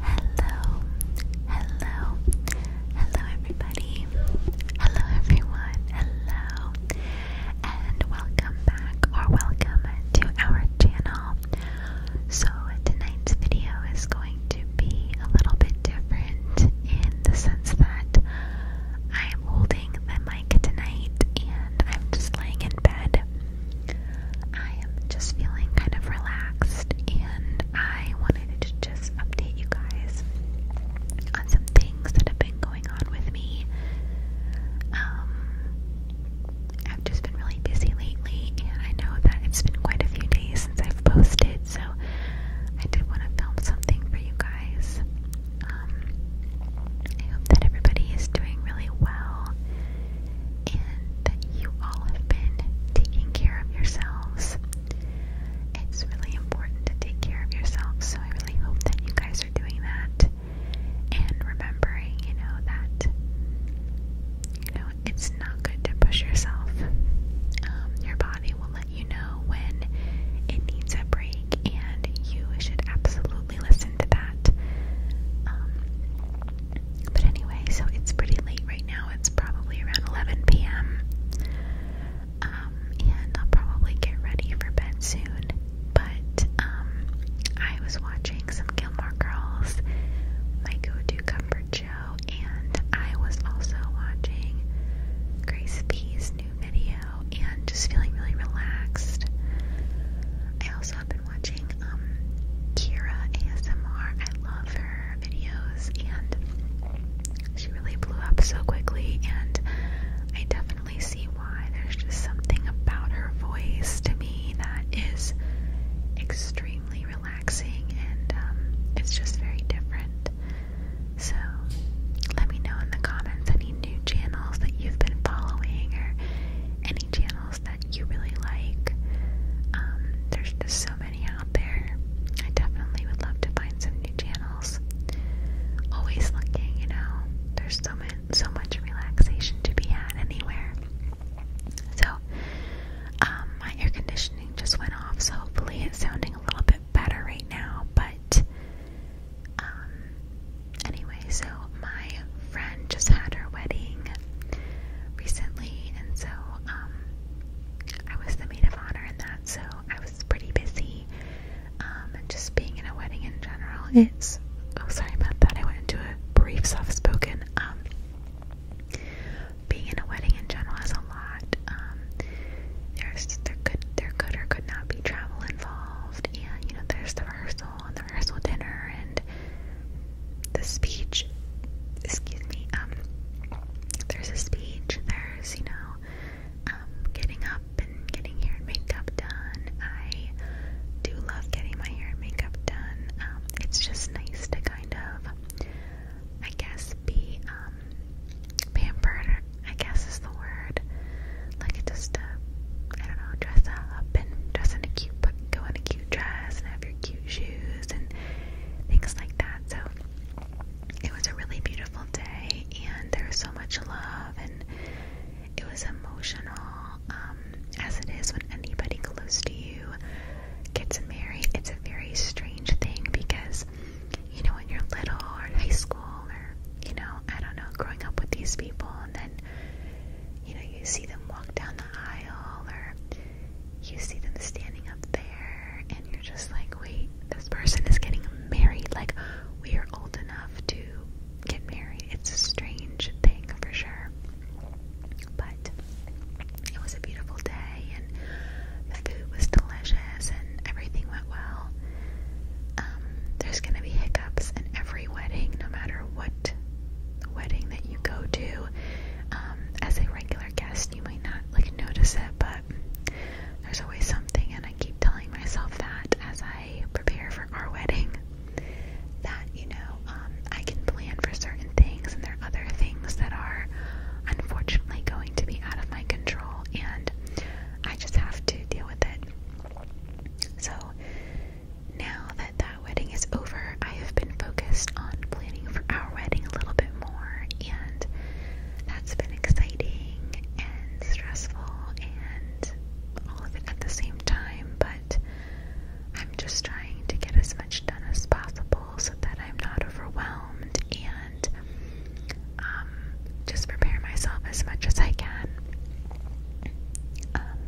Hello, hello, hello everybody. Hello everyone, hello. And welcome back or welcome to our channel. So tonight's video is going to be a little bit different in the sense that I'm holding the mic tonight and I'm just laying in bed. I am just feeling kind of relaxed and I wanted to just update you guys on some things that have been going on with me. Um, I've just been really busy lately and I know that it's been quite a few days since I've posted, so I did want to film something for you guys. Um, I hope that everybody is doing really well and that you all have been taking care of yourselves. It's really important to take care of yourselves, so I really hope that you guys are doing that and remembering, you know, that you know it's not good to push yourself. Um, your body will let you know when it needs a break, and you should absolutely listen to that. Um, but anyway, so it's pretty late right now. It's probably around 11 p.m. Um, and I'll probably get ready for bed soon. But um, I was watching some Gilmore Girls, my go-to comfort show, and I was also watching Grace P's new video and just feeling really relaxed. I also have watching um, Kira ASMR. I love her videos and she really blew up so quickly and I definitely see why. There's just something about her voice to me that is extremely relaxing and um, it's just very different. So let me know in the comments any new channels that you've been following or any channel else that you really like. Um, there's just so many out there. I definitely would love to find some new channels. Always looking, you know. There's so much, so much relaxation to be had anywhere. So, um, my air conditioning just went off, so hopefully it's sounding a little bit better right now. But, um, anyway, so my friend just had her wedding recently, and so um, I was the maid of honor in that, so I was pretty busy. Um, and just being in a wedding in general, it's oh, sorry about that. I went into a brief soft spoken. Um, being in a wedding in general is a lot. Um, there's there could there could or could not be travel involved, and you know there's the rehearsal and the rehearsal dinner and the speech. Excuse me. Um, there's a speech. There's you know, um, getting up and getting hair and makeup done. I do love getting my hair and makeup done. Um, it's just nice to kind of, I guess, be um pampered. I guess is the word. Like just, uh, I don't know, dress up and dress in a cute, go in a cute dress and have your cute shoes and things like that. So it was a really beautiful day, and there was so much love, and it was emotional, um, as it is when anybody close to you gets married. It's a very strange thing because, you know, when you're little or in high school or, you know, I don't know, growing up with these people, and then you know, you see them walk down the aisle or you see them standing up there and you're just like, wait, this person is getting married. Like, we are old enough to get married. It's a strange thing for sure. But it was a beautiful day and the food was delicious and everything went well. Um, there's going to be hiccups in every wedding, no matter what wedding that you go to um, as a regular guest, you might not like notice it, but there's always something, and I keep telling myself that as I prepare for our wedding, that you know um, I can plan for certain things, and there are other things that are unfortunately going to be out of my control, and I just have to deal with it. So now that that wedding is over, I have been focused on planning for our wedding a little bit more, and that's been exciting and stressful and all of it at the same time, but I'm just trying to get as much done as possible so that I'm not overwhelmed and um, just prepare myself as much as I can. Um,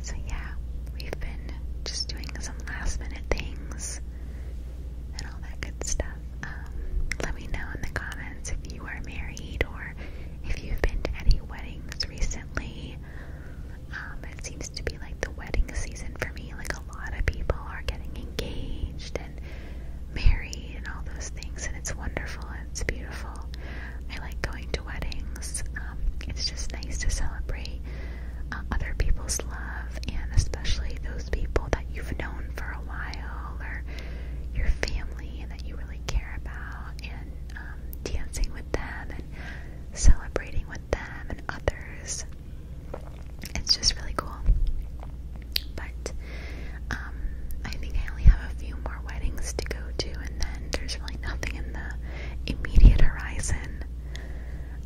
so yeah, we've been just doing some last minute things and all that good stuff. Um, let me know in the comments if you are married or if you've been to any weddings recently. Um, it seems to be like the wedding season for me. Like a lot of people are getting engaged and married and all those things, and it's wonderful. It's beautiful. I like going to weddings. Um, it's just nice to celebrate uh, other people's love, and especially those people that you've known for a while, or your family that you really care about, and um, dancing with them and celebrating with them and others. It's just really cool. But um, I think I only have a few more weddings to go to, then there's really nothing in the immediate horizon.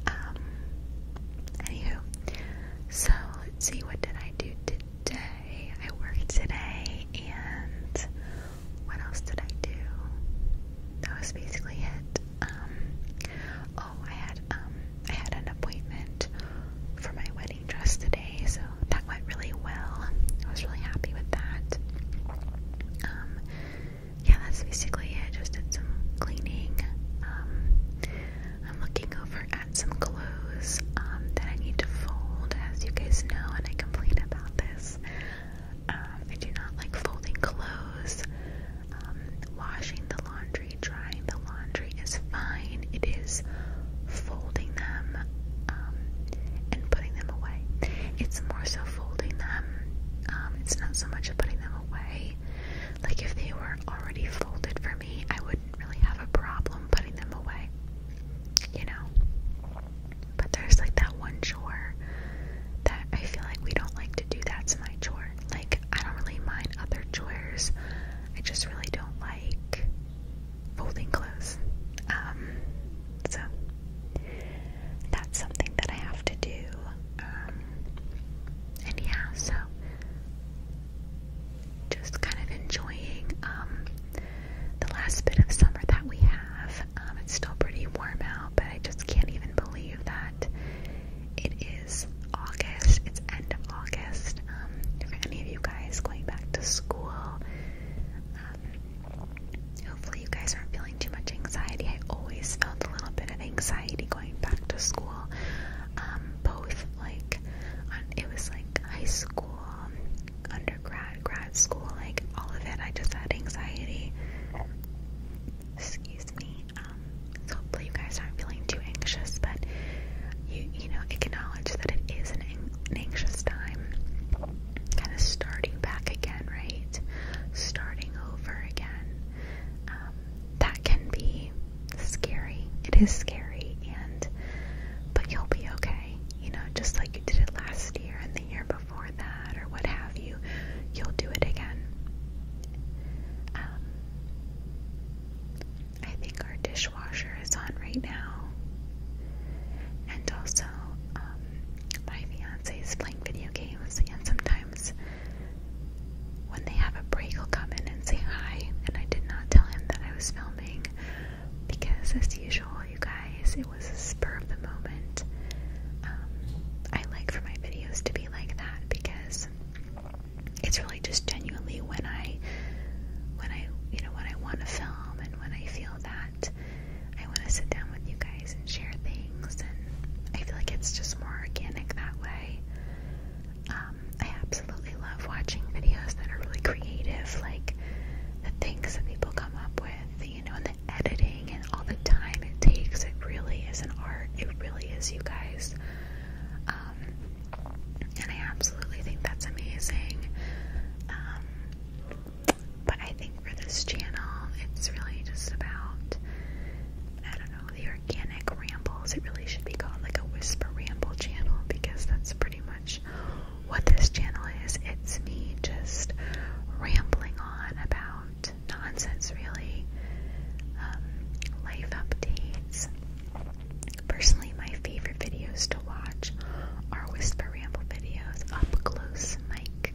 Um, anywho, so let's see, what did I do today? I worked today, and what else did I do? That was basically it. Um, oh, I had um, I had an appointment for my wedding dress today today, so that went really well. I was really happy with that. Um, yeah, that's basically it. Just did some cleaning. Um, I'm looking over at some clothes um, that I need to fold, as you guys know, and I complain about this. I do not like folding clothes. washing the laundry, drying the laundry is fine. It is folding them um, and putting them away. It's more so folding them. Um, it's not so much of putting them away. Like if they were already folded for me, I wouldn't really have a problem putting them away. You know? But there's like that one chore that I feel like we don't like to do. That's my chore. Like, I don't really mind other chores. I just really don't like folding clothes. Um, so that's something that I have to do. Um, and yeah, so just kind of enjoying um, the last bit of summer that we have. Um, it's still pretty warm out, but I just can't even believe that it is August. It's end of August. Um, for any of you guys going back to school, uh, hopefully, you guys aren't feeling too much anxiety. I always felt a little bit of anxiety going back to school. Um, both like it was like high school, um, undergrad, grad school, like all of it. I just had anxiety. Excuse me. Um, so hopefully, you guys aren't feeling too anxious, but you you know acknowledge that it is an anxious time kind of starting back again, right? Starting over again. Um, that can be scary. It is scary, and but you'll be okay. You know, just like you did it last year and the year before that, or what have you. You'll do it again. Um, I think our dish dishwasher is on right now. And also, um, my fiance is playing video games, and sometimes when they have a break, he'll come in and say hi. And I did not tell him that I was filming because, as usual, you guys, it was a spur of the moment. Um, I like for my videos to be like that because it's really just genuinely when I, when I, you know, when I want to film and when I feel that I want to sit down with you guys and share things, and I feel like it's just more organic that way. Um, I absolutely love watching videos that are really creative, like the things that people come up with, you know, and the editing and all the time it takes. It really is an art, it really is, you guys. Um, and I absolutely think that's amazing. Um, but I think for this channel, it's really just about, I don't know, the organic rambles. It really should be called like a whisper ramble channel because that's pretty much what this channel is. It's me just rambling on about nonsense, really, um, life updates. Personally, my favorite videos to watch are whisper ramble videos, up close mic,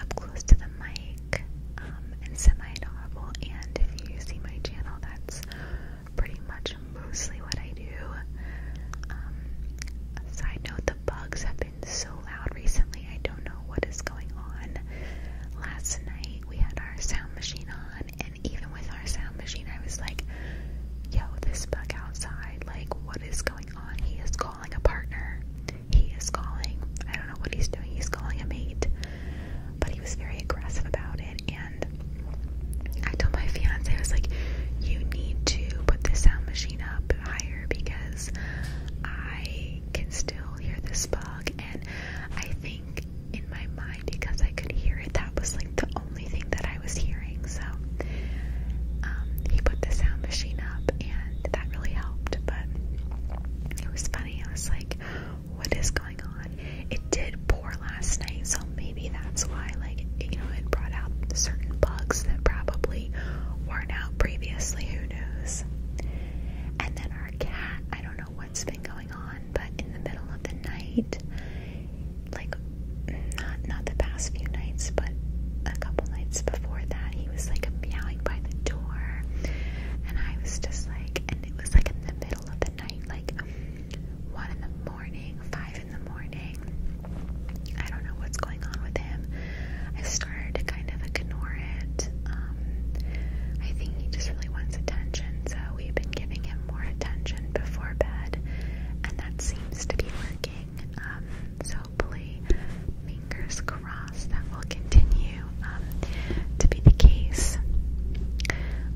up close to the mic, um, and semi-audible. And if you see my channel, that's pretty much mostly what I do. Um, side note: the bugs have been so loud recently. I don't know what is going on. Last night we had our sound machine on, and even with sound machine, I was like, yo, this bug outside, like, what is going on? He is calling a partner. He is calling, I don't know what he's doing, he's calling a mate. But he was very aggressive about it, and I told my fiance, I was like, you need to put the sound machine up higher because I can still hear this bug. And I think in my mind, because I could hear it, that was like the only thing that I." I was hearing. So um, he put the sound machine up, and that really helped. But it was funny. I was like, "What is going on?" It did pour last night, so maybe that's why, like, you know, it brought out certain bugs that probably weren't out previously. Who knows? And then our cat. I don't know what's been going on, but in the middle of the night like not not the past few nights, but a couple nights before that, he was like meowing by the door, and I was just like, and it was like in the middle of the night, like one in the morning, five in the morning. I don't know what's going on with him. I started to kind of ignore it. Um, I think he just really wants attention, so we've been giving him more attention before bed, and that's to be working. Um, so hopefully, fingers crossed, that will continue um, to be the case.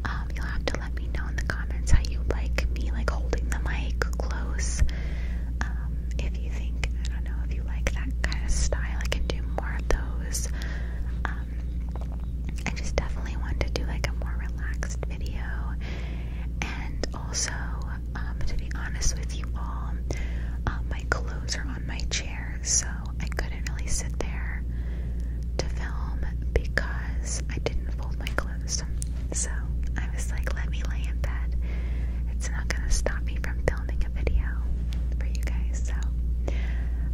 Um, you'll have to let me know in the comments how you like me, like holding the mic close. Um, if you think, I don't know, if you like that kind of style, I can do more of those. Um, I just definitely want to do like a more relaxed video and also, um, to be honest with you all, uh, my clothes are on my chair, so I couldn't really sit there to film because I didn't fold my clothes. So I was like, let me lay in bed. It's not gonna stop me from filming a video for you guys. So,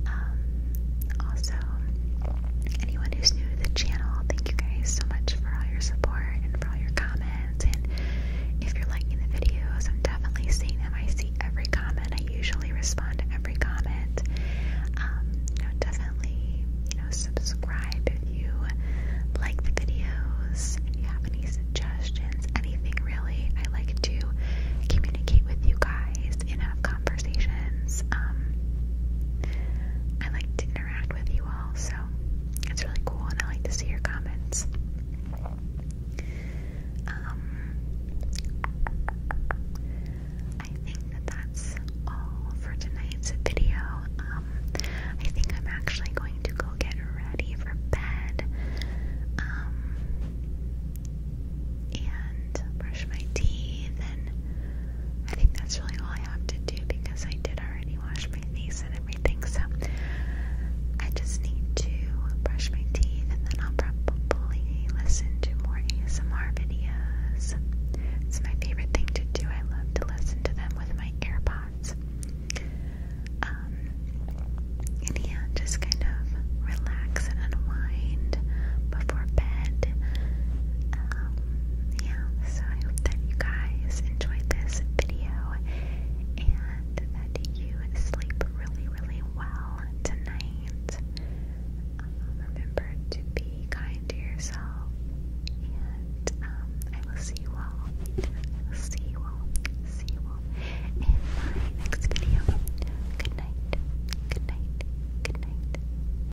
um, also, anyone who's new to the channel, thank you guys so much for all your support and for all your comments. And if you're liking the videos, I'm definitely seeing them. I see every comment. I usually respond to every comment. Um, definitely, you know, subscribe if you like the videos. If you have any suggestions, anything really, I like to communicate with you guys in have conversations. Um, I like to interact with you all, so it's really cool, and I like to see your comments. Um, I think that that's all for tonight's video. Um, I think I'm actually going to go get ready for bed. Um, and brush my teeth I think that's really all I have to do because I did already wash my face and everything, so I just need to brush my teeth and then I'll probably listen to more ASMR videos. It's my favorite thing to do. I love to listen to them with my AirPods. Um, and yeah, just kind of relax and unwind before bed. Um, yeah, so I hope that you guys enjoyed this video and that you sleep really, really well tonight. Um, remember to be kind to yourself, and um, I will see you all. I will see you all. See you all in my next video. Good night. Good night. Good night.